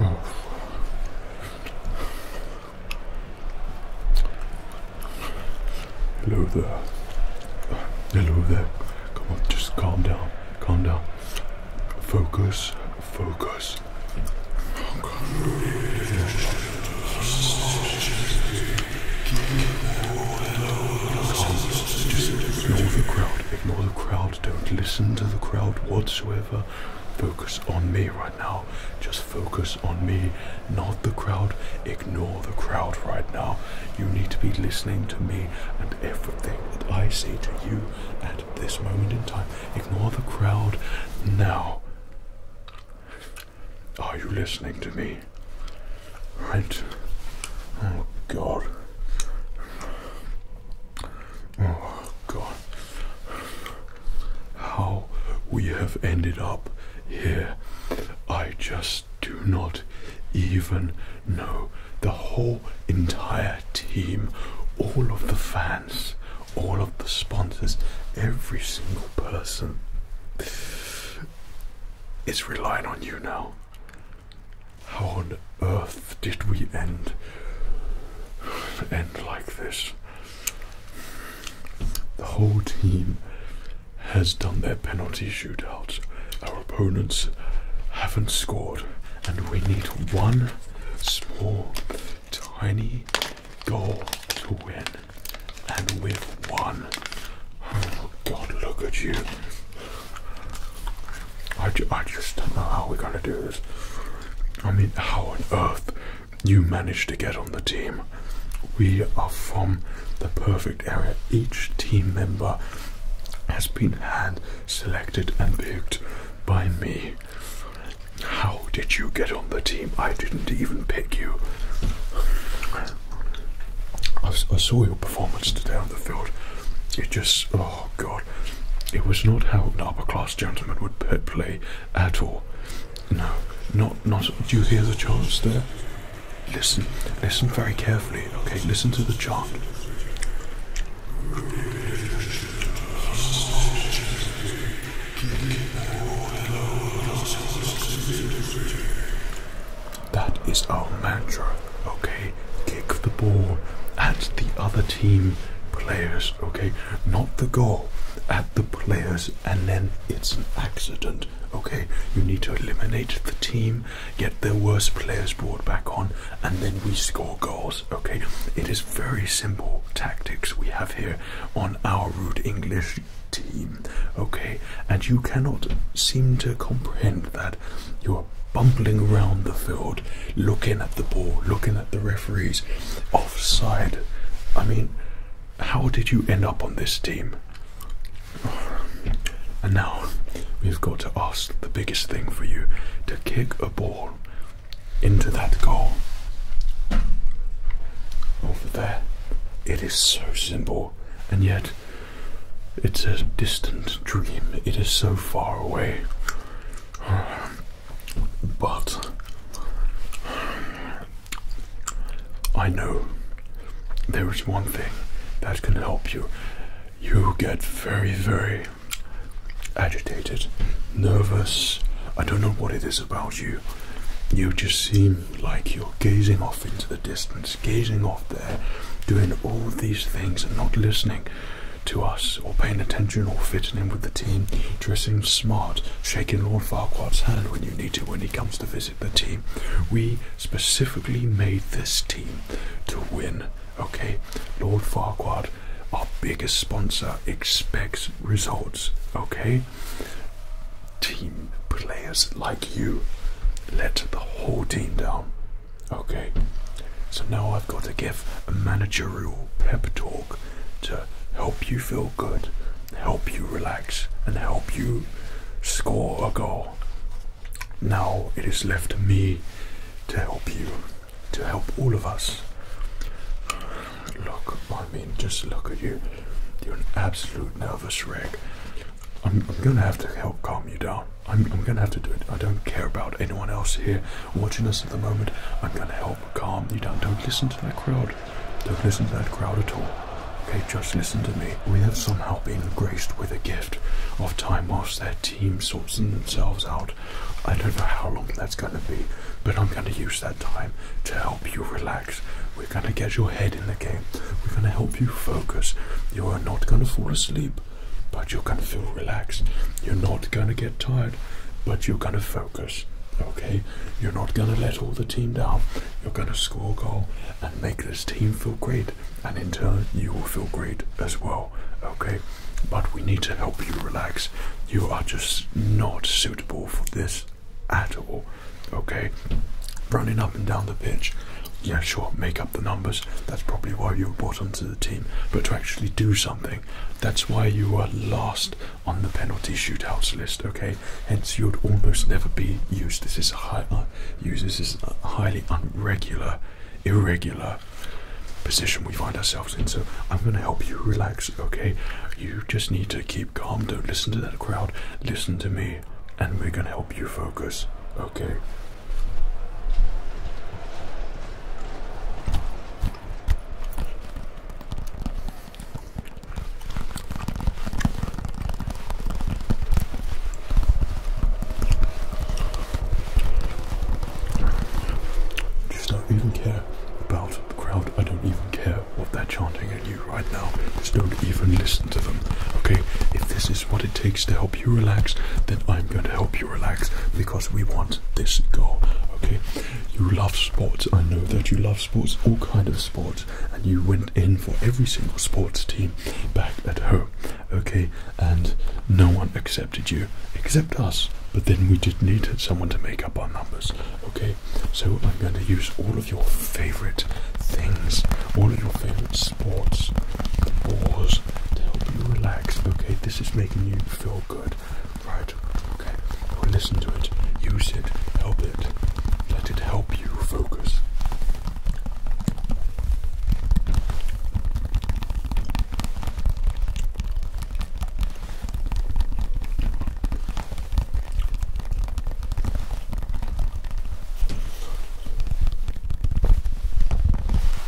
Oh. Hello there. Hello there. Come on, just calm down. Calm down. Focus. Focus. ignore the crowd. Ignore the crowd. Don't listen to the crowd whatsoever focus on me right now. Just focus on me, not the crowd. Ignore the crowd right now. You need to be listening to me and everything that I say to you at this moment in time. Ignore the crowd now. Are you listening to me? Right? Oh, God. Oh, God how we have ended up here. I just do not even know. The whole entire team, all of the fans, all of the sponsors, every single person is relying on you now. How on earth? did we end end like this? The whole team has done their penalty shootout. Our opponents haven't scored, and we need one small, tiny goal to win. And we've won. Oh God, look at you. I, I just don't know how we're going to do this. I mean, how on earth you managed to get on the team? We are from the perfect area. Each team member has been hand selected and picked by me. How did you get on the team? I didn't even pick you. I, I saw your performance today on the field. It just. Oh, Oh God, it was not how an upper class gentleman would play at all. No, not not. Do you hear the chants there? Listen, listen very carefully. Okay, listen to the chant. That is our mantra, okay? Kick the ball at the other team players, okay? not the goal, at the players, and then it's an accident. Okay, you need to eliminate the team, get their worst players brought back on, and then we score goals. Okay, it is very simple tactics we have here on our rude English team. Okay, and you cannot seem to comprehend that you are bumbling around the field looking at the ball, looking at the referees, offside. I mean, how did you end up on this team? And now we've got to ask the biggest thing for you to kick a ball into that goal. Over there. It is so simple, and yet it's a distant dream. It is so far away. But I know there is one thing that can help you. You get very, very agitated, nervous. I don't know what it is about you. You just seem like you're gazing off into the distance, gazing off there, doing all these things and not listening to us, or paying attention, or fitting in with the team, dressing smart, shaking Lord Farquhar's hand when you need to when he comes to visit the team. We specifically made this team to win. Okay, Lord Farquhar, our biggest sponsor, expects results. Okay, team players like you let the whole team down. Okay, so now I've got to give a managerial pep talk to help you feel good, help you relax, and help you score a goal. Now it is left to me to help you, to help all of us. Look, I mean, just look at you. You're an absolute nervous wreck. I'm, gonna have to help calm you down. I'm gonna have to do it. I don't care about anyone else here watching us at the moment, I'm going to help calm you down. Don't listen to that crowd. Don't listen to that crowd at all. Okay, just listen to me. We have somehow been graced with a gift of time whilst their team sorts themselves out. I don't know how long that's going to be, but I'm going to use that time to help you relax. We're going to get your head in the game. We're going to help you focus. You are not going to fall asleep, but you're going to feel relaxed. You're not going to get tired but you're going to focus. Okay, you're not going to let all the team down. You're going to score a goal and make this team feel great, and in turn, you will feel great as well. Okay, but we need to help you relax. You are just not suitable for this at all. Okay, running up and down the pitch. Yeah, sure, make up the numbers. That's probably why you were brought onto the team. But to actually do something, that's why you are last on the penalty shootouts list. Okay, hence you would almost never be used. This is high. Uh, This uh, highly unregular, irregular position we find ourselves in. So I'm going to help you relax. Okay, you just need to keep calm. Don't listen to that crowd. Listen to me, and we're going to help you focus. Okay. Just don't even care about the crowd. I don't even care what they're chanting at you right now. Just don't even listen to them. Okay? If this is what it takes to help you relax, then I'm going to help you you relax because we want this goal. Okay, you love sports. I know that you love sports, all kind of sports, and you went in for every single sports team back at home. Okay, and no one accepted you except us. But then we just needed someone to make up our numbers. Okay, so I'm going to use all of your favorite things, all of your favorite sports, wars to help you relax. Okay, this is making you feel good. Right, okay. Well, listen to it, use it, help it. Let it help you focus.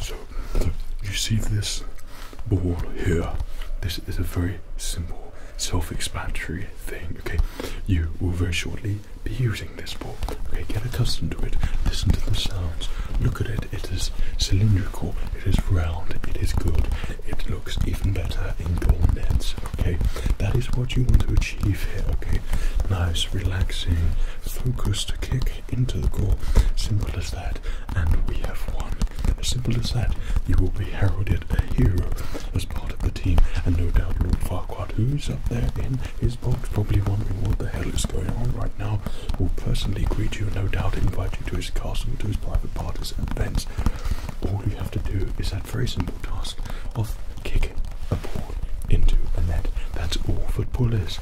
So you see this ball here. This is a very simple self expansory thing. Okay, you will very shortly be using this ball. Okay, get accustomed to it. Listen to the sounds. Look at it. It is cylindrical. It is round. It is good. It looks even better in goal nets. Okay, that is what you want to achieve okay? Nice, relaxing, focused kick into the goal. Simple as that, and we have won. simple as that, you will be heralded a hero as part of the team, and no doubt Lord Farquhar, who's up there in his boat, probably wondering what the hell is going on right now, will personally greet you, and no doubt invite you to his castle, to his private parties and events. All you have to do is that very simple task of kicking a ball into a net. That's all football is.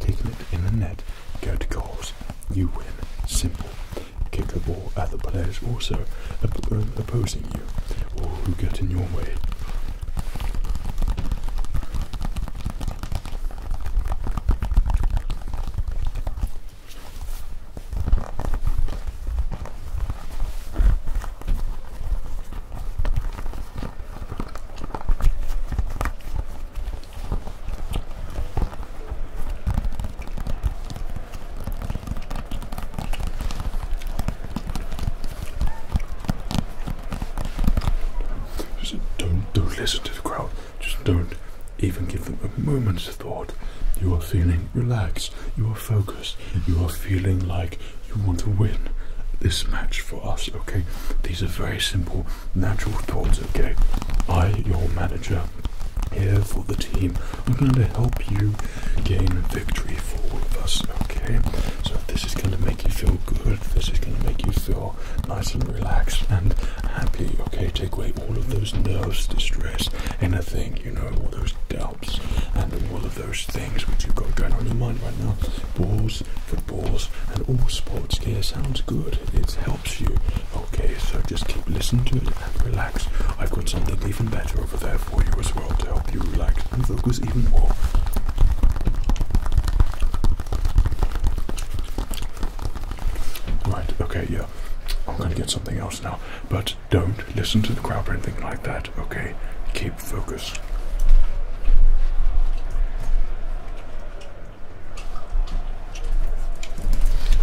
Kicking it in the net, go to goals, you win. Simple. Kick the ball at the players also um, opposing you or who get in your way. Just don't, don't listen to the crowd. Just don't even give them a moment's thought. You are feeling relaxed. You are focused. You are feeling like you want to win this match for us, okay? These are very simple, natural thoughts, okay? I, your manager, here for the team, I'm going to help you gain victory for all of us, okay? So this is going to make you feel good, this is going to make you feel nice and relaxed and happy, okay? Take away all of those nerves, distress, anything, you know, all those doubts and all of those things which you've got going on in your mind right now. Balls, footballs, and all sports gear sounds good. It helps you. Okay, so just keep listening to it and relax. I've got something even better over there for you as well to help you relax and focus even more. Right, okay, yeah. I'm going to get something else now, but don't listen to the crowd or anything like that, okay? Keep focus.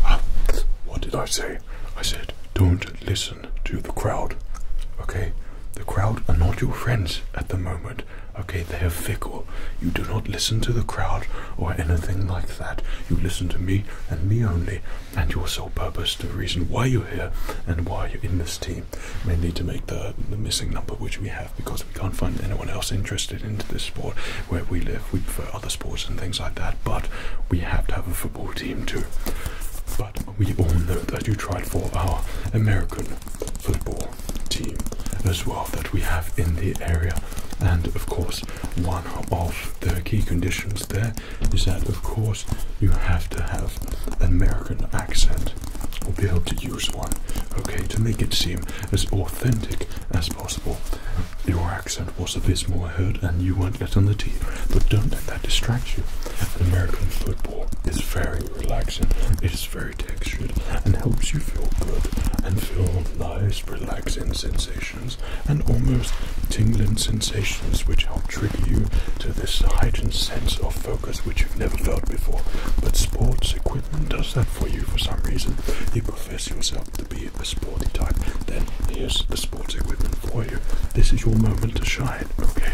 Ah, what did I say? I said, don't listen to the crowd. Okay? The crowd are not your friends at the moment. Okay? They are fickle. You do not listen to the crowd or anything like that. You listen to me and me only, and your sole purpose, the reason why you're here and why you're in this team team mainly to make the, the missing number which we have because we can't find anyone else interested into this sport where we live. We prefer other sports and things like that, but we have to have a football team too. But we all know that you tried for our American football team as well that we have in the area. And of course, one of the key conditions there is that, of course, you have to have an American accent that, will be able to use one, okay, to make it seem as authentic as possible. Your accent was a bit more heard, and you weren't yet on the tee, but don't let that distract you. American football is very relaxing, it is very textured, and helps you feel good and feel nice, relaxing sensations and almost tingling sensations which help trigger you to this heightened sense of focus focus, which you've never felt before. But sports equipment does that for you for some reason. You profess yourself to be a sporty type, then here's the sports equipment for you. This is your moment to shine, okay?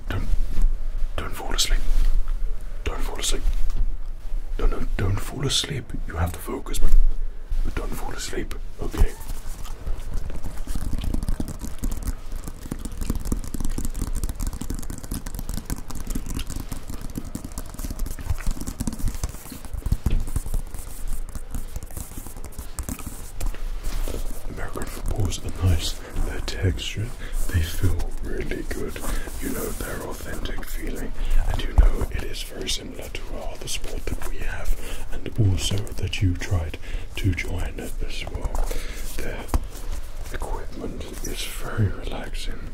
don't, don't, fall asleep. Don't fall asleep. Don't, don't, fall asleep. You have to focus, but, don't fall asleep. Okay. American footballs are nice they're textured, they feel really good. You know, they're authentic feeling, and you know it is very similar to our other sport that we have, and also that you tried to join it as well. Their equipment is very relaxing,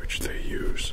which they use.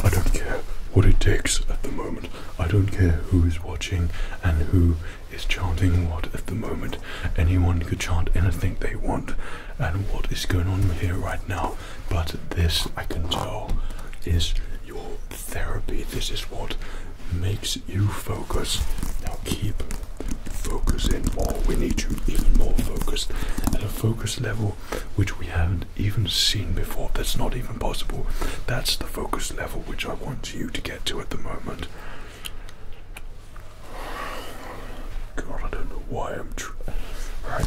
I don't care what it takes at the moment. I don't care who is watching and who is chanting what at the moment. Anyone could chant anything they want and what is going on here right now. But this, I can tell, is your therapy. This is what makes you focus. Now keep focusing more. We need you even more focused at a focus level which we haven't even seen before. That's not even possible. That's the focus level which I want you to get to at the moment. God, I don't know why I'm. right.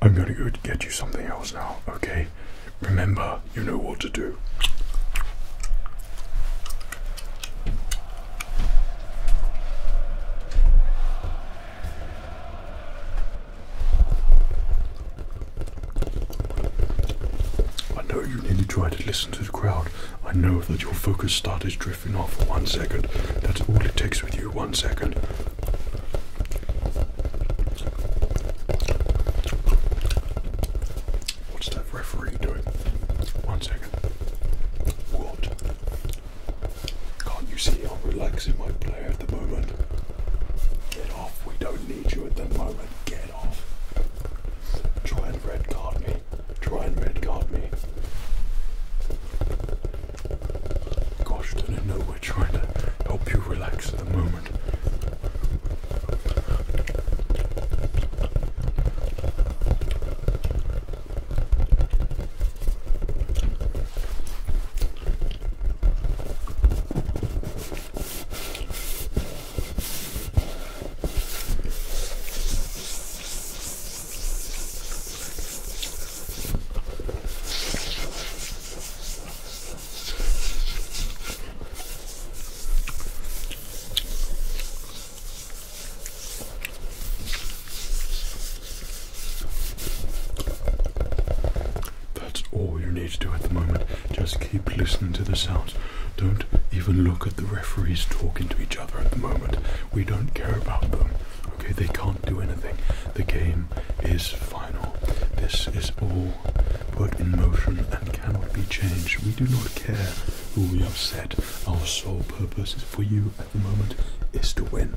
I'm gonna go get you something else now, okay? Remember, you know what to do. I know you nearly tried to listen to the crowd. I know that your focus started drifting off for one second. That's all it takes with you, one second. What's that referee doing? One second. What? Can't you see I'm relaxing my player at the moment? Get off, we don't need you at the moment. Get off. Try and red card me. Try and red card me. Gosh, didn't know we're trying to help you relax at the moment. That's all you need to do at the moment. Just keep listening to the sounds. Don't even look at the referees talking to each other at the moment. We don't care about them. Okay, they can't do anything. The game is final. This is all put in motion and cannot be changed. We do not care who we upset. Our sole purpose for you at the moment is to win.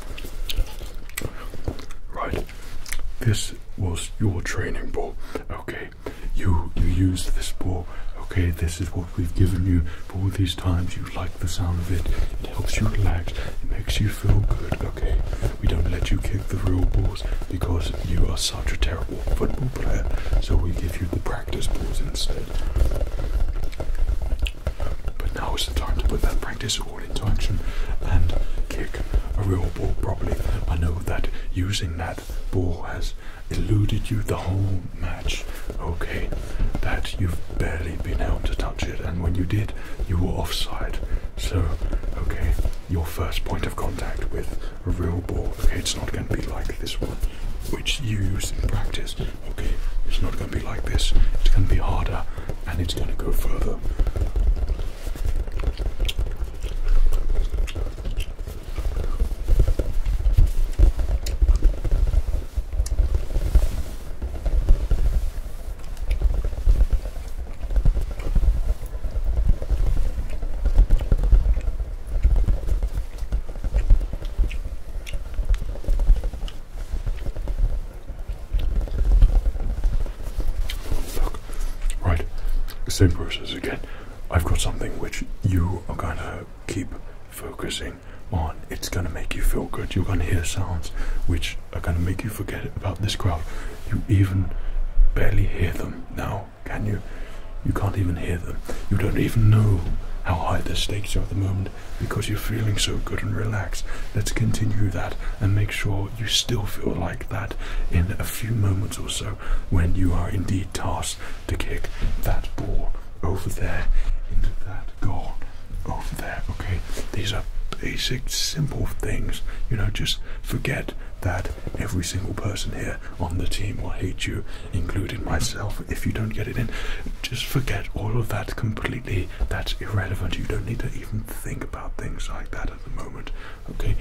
Right, this was your training ball. Okay, you you used this ball. Okay, this is what we've given you for all these times. You like the sound of it. It helps you relax. It makes you feel good. Okay, we don't let you kick the real balls because you are such a terrible football player. So we give you the practice balls instead. But now is the time to put that practice all into action and kick a real ball properly. I know that using that ball has eluded you the whole match, okay? That you've barely been able to touch it, and when you did, you were offside. So, okay, your first point of contact with a real ball, okay, it's not going to be like this one, which you used in practice, Okay, it's not going to be like this. It's going to be harder, and it's going to go further. Look, right, same process again. I've got something which you are gonna keep focusing on. It's gonna make you feel good. You're gonna hear sounds which are gonna make you forget about this crowd. You even barely hear them now, can you? You can't even hear them. You don't even know how high the stakes are at the moment because you're feeling so good and relaxed. Let's continue that and make sure you still feel like that in a few moments or so when you are indeed tasked to kick that ball over there into that goal over there. Okay, these are basic, simple things. You know, just forget that every single person here on the team will hate you, including myself, if you don't get it in. Just forget all of that completely that's irrelevant. You don't need to even think about things like that at the moment. Okay,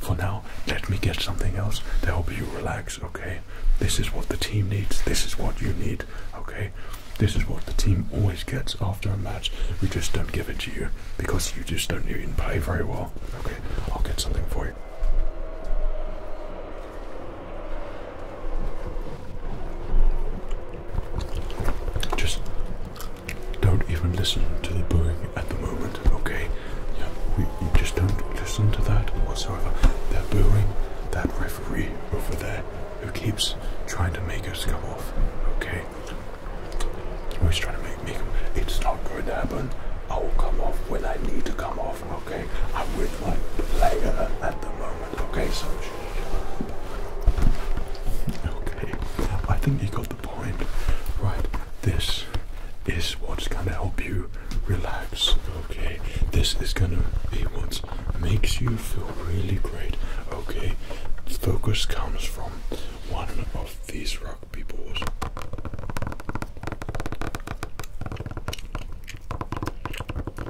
for now, let me get something else to help you relax. Okay, this is what the team needs, this is what you need. Okay, this is what the team always gets after a match. We just don't give it to you because you just don't even pay very well. Okay, I'll get something for you. Just don't even listen to the booing at the moment, okay? Yeah, we, you just don't listen to that whatsoever. They're booing that referee over there who keeps trying to make us come off, okay? Always trying to make me come. It's not going to happen. I will come off when I need to come off, okay? I'm with my player at the moment. Okay, so. Okay, I think you got the point. Right, this is what's going to help you relax. Okay, this is going to be what makes you feel really great. Okay, focus comes from one of these rock balls.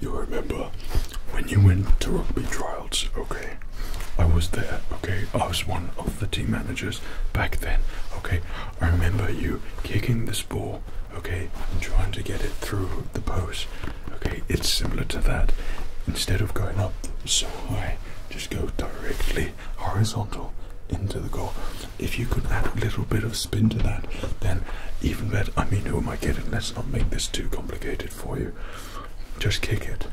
You remember when you went to rugby trials, okay? I was there, okay? I was one of the team managers back then, okay? I remember you kicking this ball, okay? trying to get it through the post, Okay, it's similar to that. Instead of going up so high, just go directly horizontal into the goal. If you could add a little bit of spin to that, then even better. I mean, who am I kidding? Let's not make this too complicated for you. Just kick it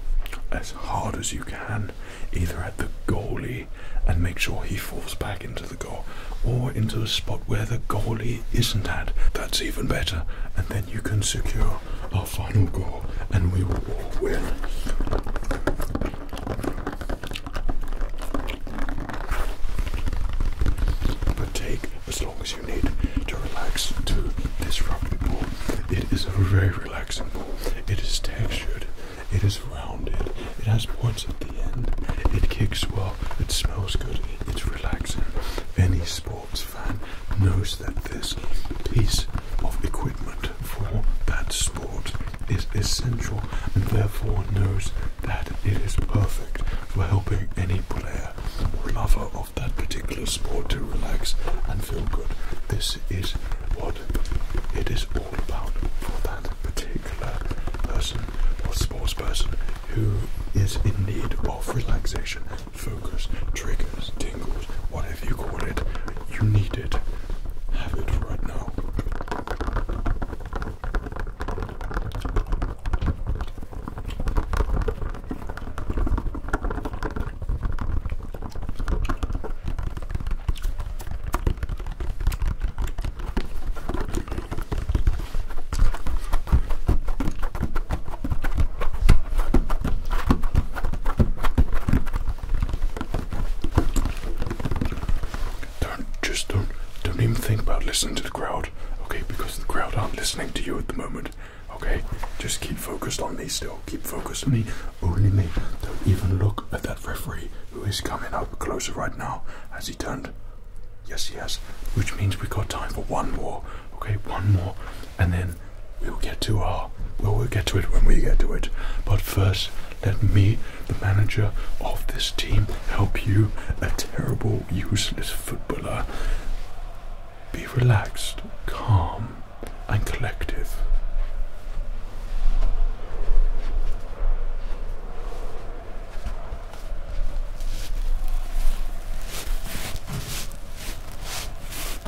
as hard as you can, either at the goalie and make sure he falls back into the goal, or into a spot where the goalie isn't at. That's even better. And then you can secure a final goal and we will all win. But take as long as you need to relax to this rugby ball. It is a very relaxing ball. It is textured, it is rounded, it has points at the end, it kicks well, it smells good, it's relaxing. Any sports knows that this piece of equipment for that sport is essential and therefore knows that it is perfect for helping any player or lover of that particular sport to relax and feel good. This is what it is all about for that particular person or sports person who is in need of relaxation focus, triggers, tingles, whatever you call it, you need it. Have it right now just don't don't even think about listening to the crowd, okay? Because the crowd aren't listening to you at the moment, okay? Just keep focused on me still. Keep focused on me, only me. Don't even look at that referee who is coming up closer right now. As he turned? Yes, yes. Which means we've got time for one more, okay? One more, and then We'll get to our we'll get to it when we get to it. But first, let me, the manager of this team, help you, a terrible, useless footballer. Be relaxed, calm, and collective.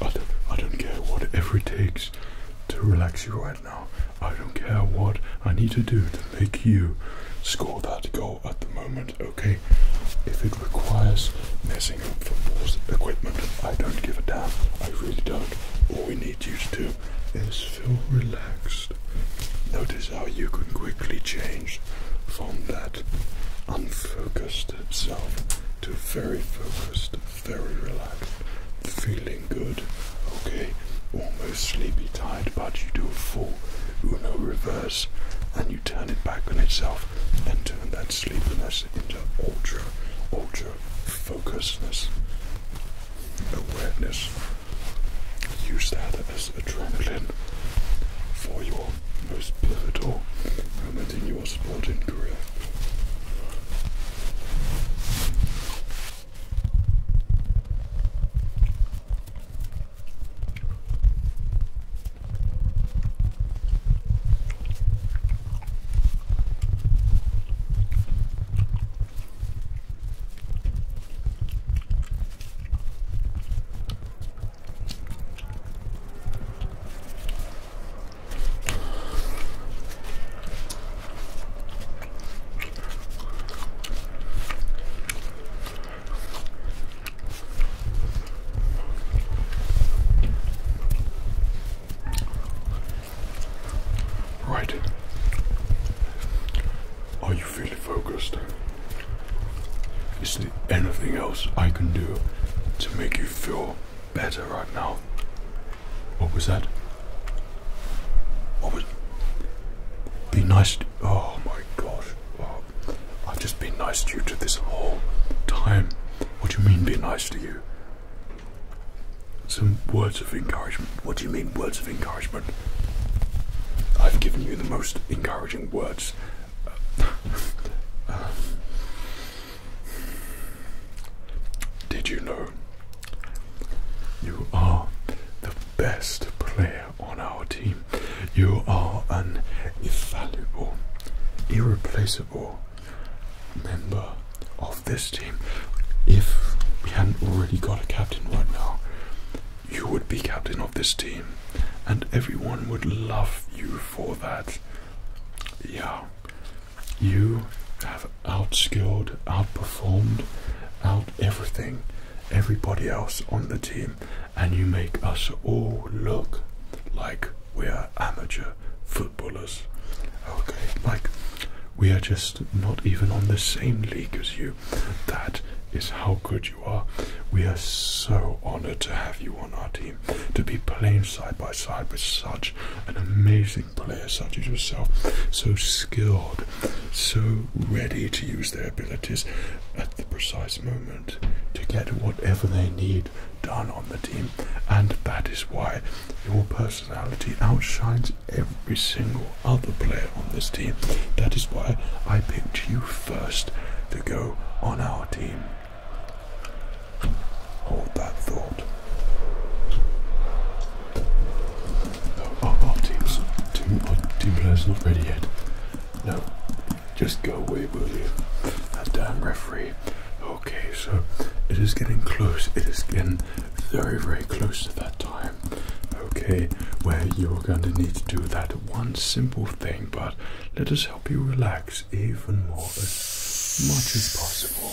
I I don't care whatever it takes to relax you right now. I don't care what I need to do to make you score that goal at the moment, okay? If it requires messing up football's equipment, I don't give a damn. I really don't. All we need you to do is feel relaxed. Notice how you can quickly change from that unfocused self to very focused very relaxed, feeling good, okay, almost sleepy tired, but you do a full Uno reverse and you turn it back on itself and turn that sleepiness into ultra, ultra focusedness, awareness. Use that as adrenaline for your most pivotal moment. I think you were spotted correct. Right. Are you feeling focused? Is there anything else I can do to make you feel better right now. What was that? What was. Be nice. To, oh my gosh. Oh, I've just been nice to you to this whole time. What do you mean, be nice to you? Some words of encouragement. What do you mean, words of encouragement? I've given you the most encouraging words. Um, did you know you are the best player on our team? You are an invaluable, irreplaceable member of this team. If we hadn't already got a captain right now, you would be captain of this team, and everyone would love you for that. Yeah, you have outskilled, outperformed, out everything, everybody else on the team, and you make us all look like we are amateur footballers. Okay, like we are just not even on the same league as you. That is how good you are. We are so honored to have you on our team to be playing side by side with such an amazing player such as yourself, so skilled, so ready to use their abilities at the precise moment to get whatever they need done on the team, and that is why your personality outshines every single other player on this team. That is why I picked you first to go on our team. Hold that thought. Oh, our, oh, our oh, team, our oh, team player's not ready yet. No, just go away, will you? That damn referee. Okay, so it is getting close. It is getting very, very close to that time. Okay, where you're going to need to do that one simple thing, but let us help you relax even more as much as possible.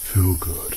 feel good.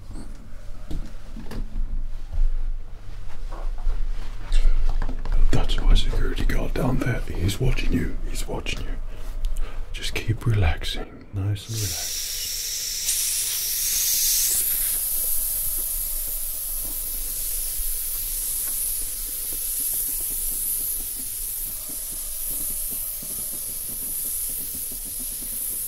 That's my security guard down there. He's watching you. He's watching you. Just keep relaxing. Nice and relaxed.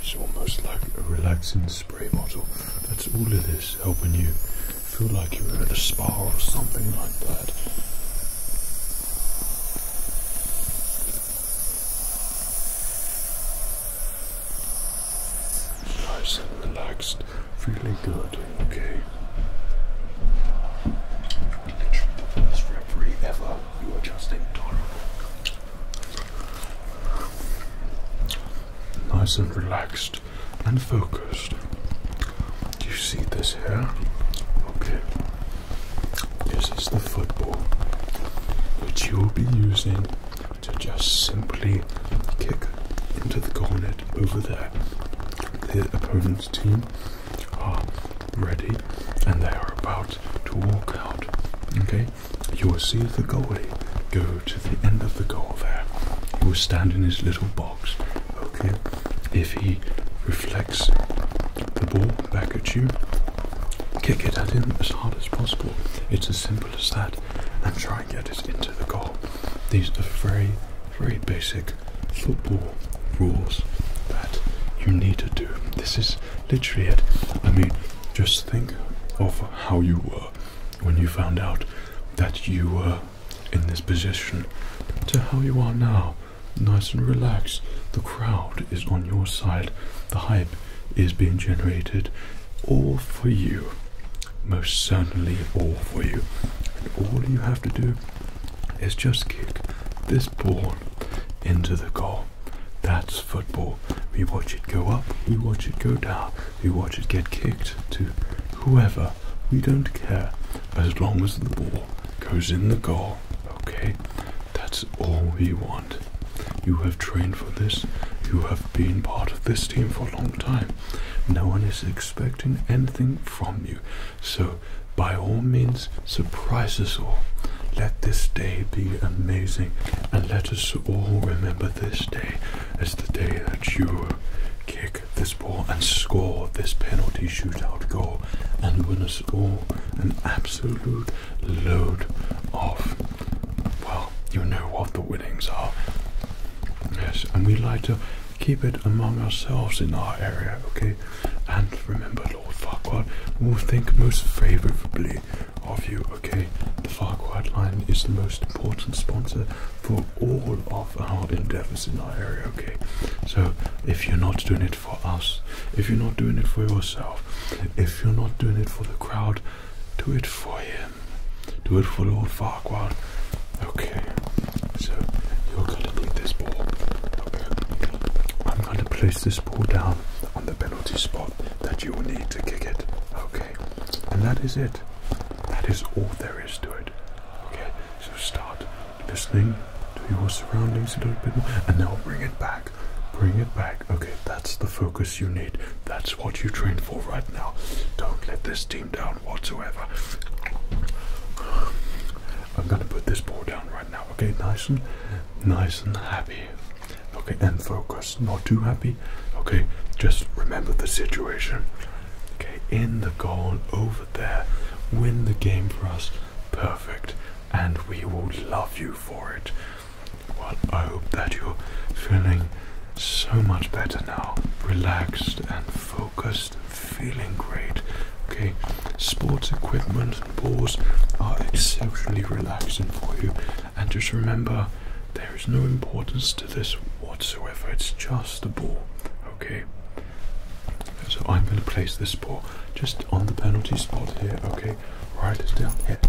It's almost like a relaxing spray bottle. That's all of this helping you feel like you're at a spa or something like that. Nice and relaxed, feeling good, okay the first referee ever. You are just adorable. Nice and relaxed and focused. Do you see this here? Okay. This is the football which you will be using to just simply kick into the cornet over there. The opponent team are ready and they are about to walk out. Okay, you will see the goalie go to the end of the goal there. He will stand in his little box. Okay, if he reflects the ball back at you, kick it at him as hard as possible. It's as simple as that, and try and get it into the goal. These are very, very basic football rules that you need to do. This is literally it. I mean, just think of how you were when you found out that you were in this position to how you are now. Nice and relaxed. The crowd is on your side. The hype is being generated all for you. Most certainly all for you. And all you have to do it's just kick this ball into the goal. That's football. We watch it go up, we watch it go down, we watch it get kicked to whoever. We don't care as long as the ball goes in the goal. Okay? That's all we want. You have trained for this. You have been part of this team for a long time. No one is expecting anything from you. So, by all means, surprise us all. Let this day be amazing, and let us all remember this day as the day that you kick this ball and score this penalty shootout goal and win us all an absolute load of, well, you know what the winnings are. Yes, and we like to keep it among ourselves in our area, okay? And remember, Lord Farquaad will think most favorably of you, okay? The Farquhar line is the most important sponsor for all of our endeavors in our area, okay? So if you're not doing it for us, if you're not doing it for yourself, if you're not doing it for the crowd, do it for him. Do it for Lord Farquaad. Okay, so you're gonna need this ball. I'm gonna place this ball down on the penalty spot that you will need to kick it. Okay, and that is it. That is all there is to it. Okay, so start listening to your surroundings a little bit and now bring it back. Bring it back. Okay, that's the focus you need. That's what you trained for right now. Don't let this team down whatsoever. I'm gonna put this ball down right now, okay? Nice and nice and happy. Okay, and focus. Not too happy. Okay, just remember the situation. Okay, in the goal over there. Win the game for us. Perfect. And we will love you for it. Well, I hope that you're feeling so much better now, relaxed and full focused, feeling great. Okay, sports equipment and balls are exceptionally relaxing for you. And just remember, there is no importance to this whatsoever. It's just a ball. Okay. So I'm going to place this ball just on the penalty spot here. Okay, right it down here.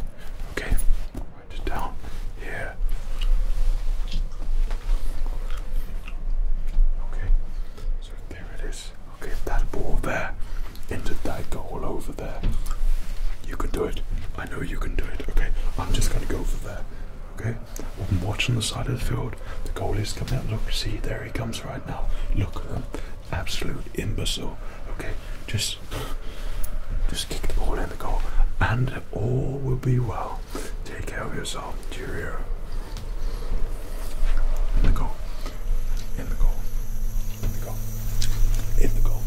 Okay, right it down here. Okay, so there it is. Okay, that ball there into that goal over there. You can do it. I know you can do it. Okay, I'm just gonna go for there. Okay, I'm watching the side of the field. The goal is coming out. Look, see, there he comes right now. Look absolute imbecile. Okay, just, just kick the ball in the goal, and all will be well. Take care of yourself. Cheerio. In In the goal. In the goal. In the goal. In the goal.